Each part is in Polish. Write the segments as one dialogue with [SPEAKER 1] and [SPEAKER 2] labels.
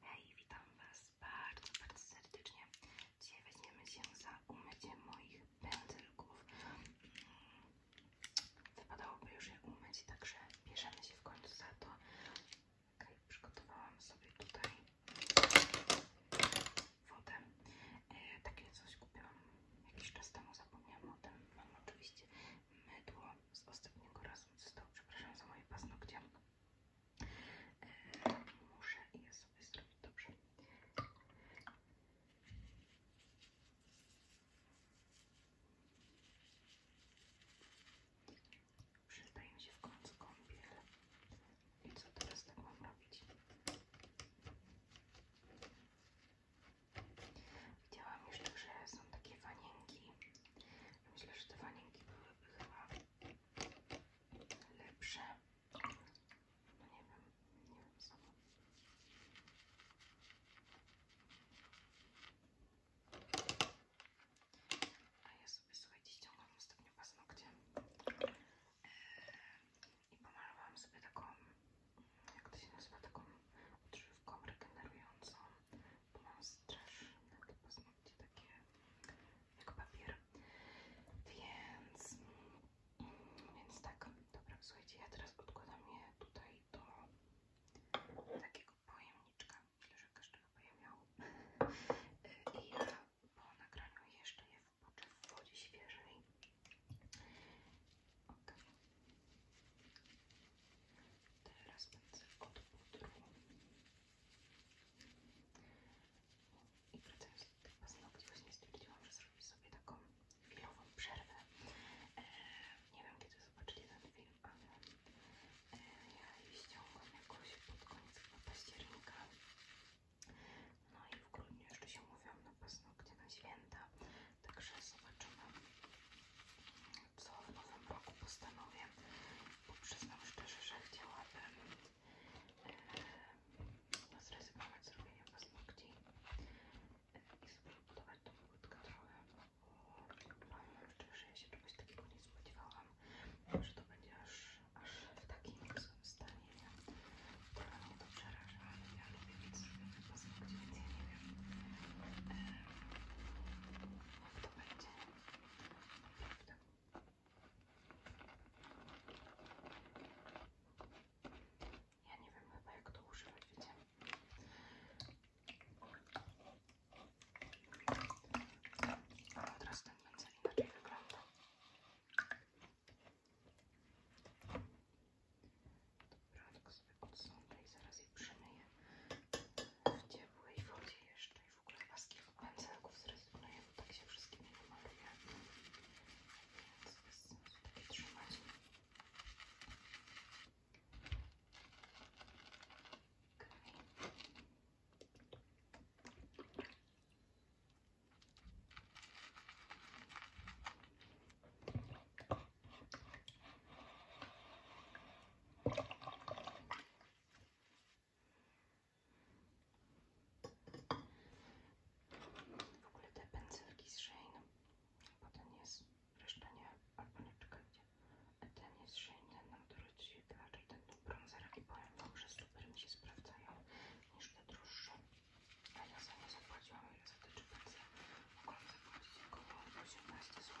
[SPEAKER 1] Hej, witam Was bardzo, bardzo serdecznie. Dzisiaj weźmiemy się za umycie moich pędzelków. Mm, wypadałoby już je umyć, także bierzemy się w końcu za to. przygotowałam sobie tutaj wodę. E, takie coś kupiłam jakiś czas temu, zapomniałam o tym. Mam oczywiście mydło z ostatniego razu, co stało, przepraszam za moje paznokcie. Muszę je sobie zrobić dobrze. Przydaje się w końcu kąpiel. I co teraz tak mam robić? Widziałam jeszcze, że są takie wanienki. Myślę, że te wanienki byłyby chyba lepsze. No nie wiem, nie wiem co. A ja sobie słuchajcie ściągam ostatnio paznokcie yy, i pomalowałam sobie taką, jak to się nazywa, taką odżywką regenerującą, bo mam straszne te paznokcie takie jak papier. Więc, więc tak, dobra, słuchajcie, ja teraz odkładam je tutaj do takiego pojemniczka. Myślę, że każdy chyba miał. I ja po nagraniu jeszcze nie wpoczę w wodzie Teraz pędzel od pudru. I wracając do tych paznokci, właśnie stwierdziłam, że zrobię sobie taką chwilową przerwę. E, nie wiem, kiedy zobaczycie ten film, ale e, ja je ściągam jakoś pod koniec chyba października. No i w grudniu jeszcze się mówiłam na paznokcie na święta, także zobaczymy, co w nowym roku postanowię bo przyznam szczerze, że chciałabym e, zrezygnować z robienia paznokci i sobie budować tą budkę trochę, bo mam no, szczerze, ja się czegoś takiego nie spodziewałam, że to będzie aż, w takim złym stanie, Trochę to przeraża, ale ja lubię mieć zrobione paznokcie, więc ja nie e, to będzie. Ja nie wiem chyba jak to używać, wiecie. Ale teraz ten będzie inaczej wyglądał. Dobra, tylko sobie odsądzę i zaraz je przymyję w ciepłej wodzie jeszcze i w ogóle paski pędzelków zrezygnuję, bo tak się wszystkimi wymaluje. Więc bez sensu takie trzymać. W ogóle te pędzelki z Shane, bo ten jest, reszta nie, albo nie czekajcie. Ten jest Shane, ten nam dorzucił raczej ten tu bronzer i powiem wam, że super się sprawdzają niż te droższe. A ja za nie zapłaciłam, ile za te czy pędzle. Mogłam zapłacić około 18 zł,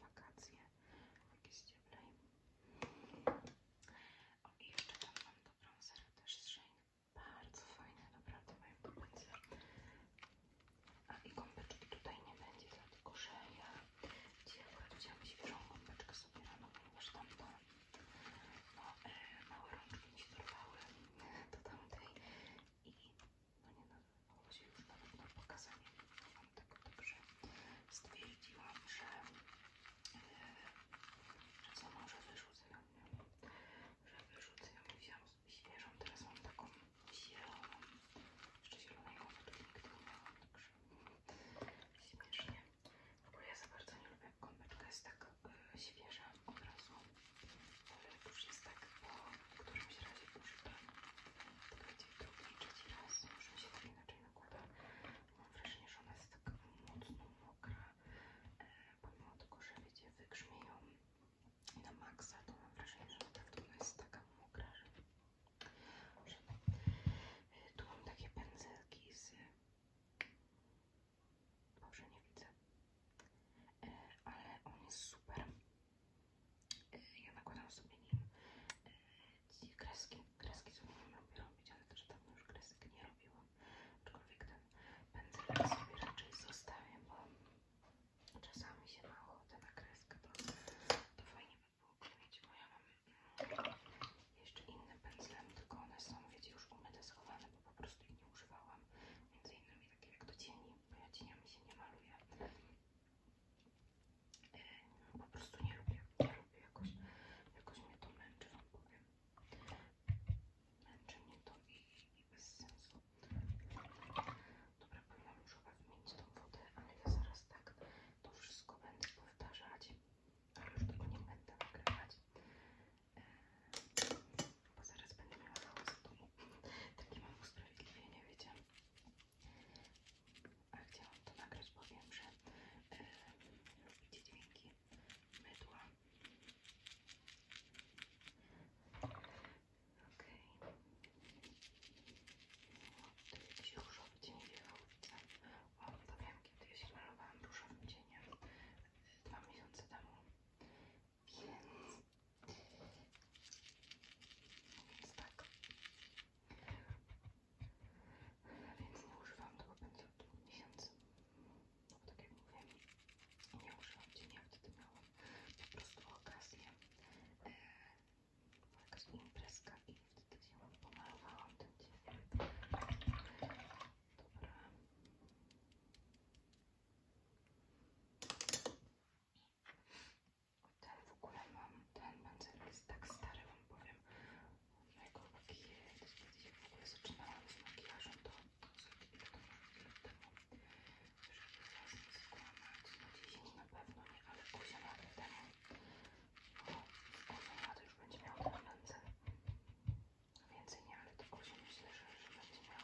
[SPEAKER 1] wakacje jakieś cieplej. O i jeszcze tam mam do bronzera też z Shane. Bardzo fajne, naprawdę mają do bronzer. A i gąbeczki tutaj nie będzie, dlatego że ja dzisiaj akurat wziąłam gąbeczkę sobie rano, ponieważ tam to no, e, małe rączki nie się dorwały do tamtej i no nie no, chodzi już nawet na pokazanie wam tego, także stwierdziłam, że, e, że co może wyrzucę ją, że wyrzucę ją wziąłam świeżą, teraz mam taką zieloną, jeszcze zielonego wodnika, nie ma, także śmiesznie, bo ja za bardzo nie lubię, jak konweczka jest tak e, świeża od razu, ale już jest tak bo po którymś razie używana, drugi, trzeci raz, już mi się tak inaczej nakłada. Mam wrażenie, że ona jest taka mocno mokra, e, pomimo tego, że wiecie, wygrzmieją na maksa, to mam wrażenie, że naprawdę ona tak jest taka mokra, że, e, Tu mam takie pędzelki z... Boże, nie widzę. E, ale on jest super. E, ja nakładam sobie nim powiedzieć, kreski. Kreski mam robić, ale też tam już kresek nie robiłam. Aczkolwiek ten pędzelek sobie raczej zostawię, bo czasami się ma ochotę na kreskę, to, to fajnie by było kleić, bo ja mam mm, jeszcze inne pędzlem, tylko one są, wiecie, już umyte, schowane, bo po prostu ich nie używałam. Między innymi takie jak do cieni, bo ja cieniami się nie maluję. E, po prostu nie lubię, nie lubię jakoś, jakoś mnie to męczy, wam powiem. Męczy mnie to i, i bez sensu. Dobra, powinnam już chyba wymienić tą wodę, ale ja zaraz tak to wszystko będę powtarzać, ale już tego nie będę nagrywać, e, bo zaraz będę miała hałas w domu. Takie mam usprawiedliwienie, wiecie. A chciałam to nagrać, bo wiem, że yy, e, lubicie dźwięki mydła. Okej. Okay. To jest jakiś różowy cień wiechowca. O, to wiem, kiedy ja się malowałam e, dwa miesiące temu. Więc... Więc tak. Więc nie używam tego pędzla od dwóch miesięcy. No bo tak jak mówię, nie używam dziennie, wtedy miałam po prostu okazję. E, jakaś imprezka i wtedy się pomalowałam ten Ten w ogóle mam, ten pędzel jest tak stary, wam powiem, mojego makijażu, też kiedy w ogóle zaczynałam z makijażem, to sobie ile to lat temu, żeby was nie skłamać, no 10 na pewno nie, ale 8 lat temu, o, 8 lat już będzie miał na ręce, więcej nie, ale to 8 myślę, że, że będzie miał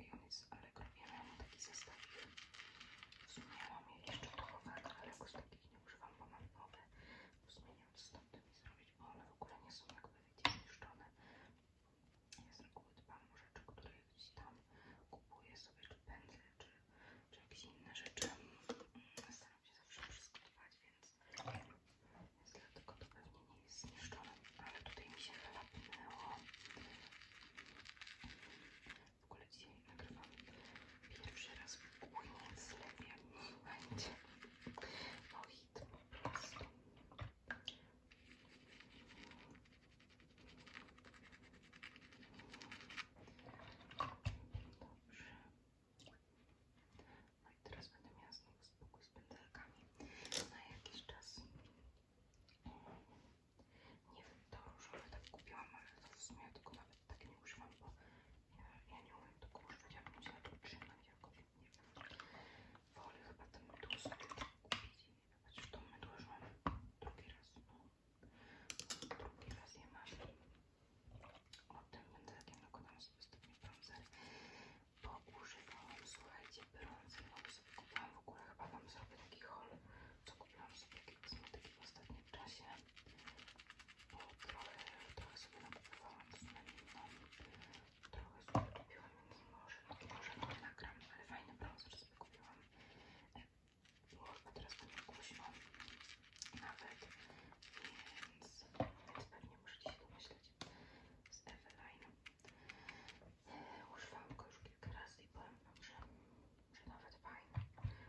[SPEAKER 1] i on jest z Allegro, ja miałam taki zestawik, w sumie mam jeszcze topowe, ale jakoś takich nie używam, bo mam nowe, z tym stopy i zrobić, bo one w ogóle nie są jakby wiecie zniszczone. Ja z reguły dbam o rzeczy, które gdzieś tam kupuję sobie, czy pędzle, czy, jakieś inne rzeczy. Mm, staram się zawsze wszystko dbać, więc, więc dlatego to pewnie nie jest zniszczone. Ale tutaj mi się chyba pnęło. W ogóle dzisiaj nagrywam pierwszy raz w koniec lewia. będzie mohit po prostu. Dobrze. No i teraz będę miała z boku z pędzelkami na jakiś czas. Nie wiem, to różowe tak kupiłam, ale to w sumie tylko na nawet tak nie używam, bo ja, nie umiem tego tak używać, ja bym musiała to trzymać jakoś, nie wiem. Wolę chyba ten mydło sobie kupić i zobacz, to mydło już mam drugi raz, no. drugi raz je mam. O tym będę jakiego tam sobie ostatni brązer, bo używałam, słuchajcie, brązer, bo sobie w ogóle, chyba wam sobie taki haul, co kupiłam sobie takie kosmetyki w ostatnim czasie bo trochę, trochę sobie napływałam z naliną, trochę sobie kupiłam, więc może, może to nagram, ale fajny browser sobie kupiłam. Może teraz będę głośno nawet, więc, więc pewnie możecie się domyśleć z Eveline. Używałam go już kilka razy i powiem wam, że, że nawet fajny.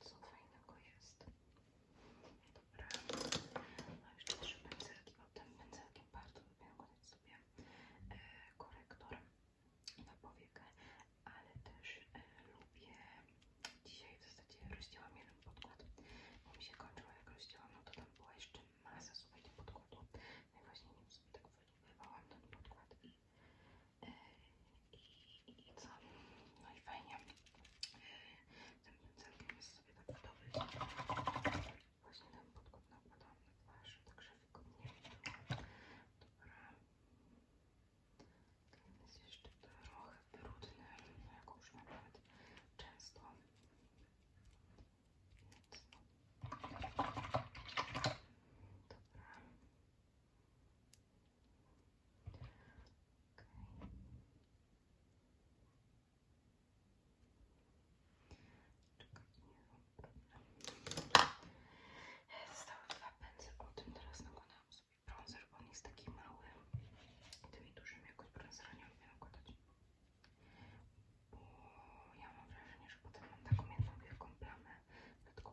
[SPEAKER 1] Co fajnego jest. Dobra. No jeszcze trzy pędzelki, bo tym pędzelkiem bardzo lubię kładać sobie e, korektor na powiekę, ale też e, lubię dzisiaj w zasadzie rozdziałam jeden podkład, bo mi się kończyło jak rozdziałam, no to tam była jeszcze masa słuchajcie podkładu. No i właśnie nim sobie tak wydobyłam ten podkład i, i co? No i fajnie. Ten całkiem jest sobie tak gotowy. Właśnie ten podkład nakładam na twarz, także wygodnie Dobra. Ten jest jeszcze trochę brudny, no jak już nawet często. Więc no. Dobra. Zostały dwa pędzle, o teraz nakładałam sobie bronzer, bo on jest taki mały. Tymi dużymi jakoś brązera nie lubię nakładać. Bo ja mam wrażenie, że potem mam taką jedną wielką plamę, dlatego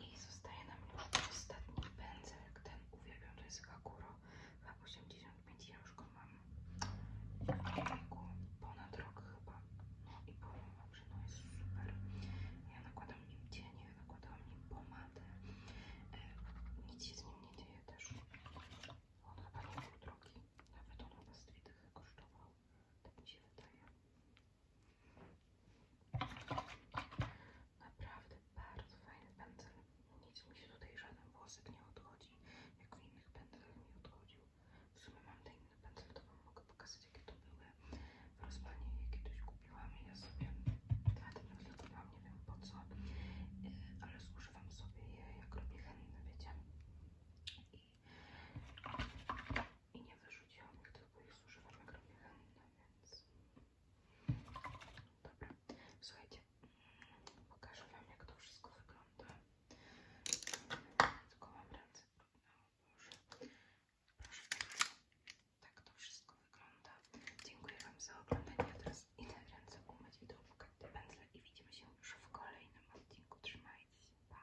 [SPEAKER 1] I zostaje nam już ostatni pędzelek, ten uwielbiam, to jest Hakuro H85, ja już go mam ponad rok chyba, no i powiem wam, no jest super. Ja nakładam nim cienie, nakładam nim pomadę, e, nic się z nim nie dzieje też. On chyba nie był drogi, nawet on chyba z kosztował, tak mi się wydaje. Naprawdę bardzo fajny pędzel. Nic mi się tutaj żaden włosek nie odchodzi, jako innych pędzel nie odchodził. W sumie mam ten inny pędzel, to wam mogę pokazać jakie to były w rozpanie, je kiedyś kupiłam i ja sobie dwa dni kupiłam, nie wiem po co, e, ale zużywam sobie je jak robię henny, wiecie i nie wyrzuciłam ich, tylko ich zużywam jak robię chętne, więc... Dobra, słuchajcie, mm, pokażę wam jak to wszystko wygląda. Tylko mam ręce brudne, proszę bardzo. Tak to wszystko wygląda. Dziękuję wam za oglądanie, ja teraz idę ręce umyć i dołukać te pędzle i widzimy się już w kolejnym odcinku. Trzymajcie się, pa!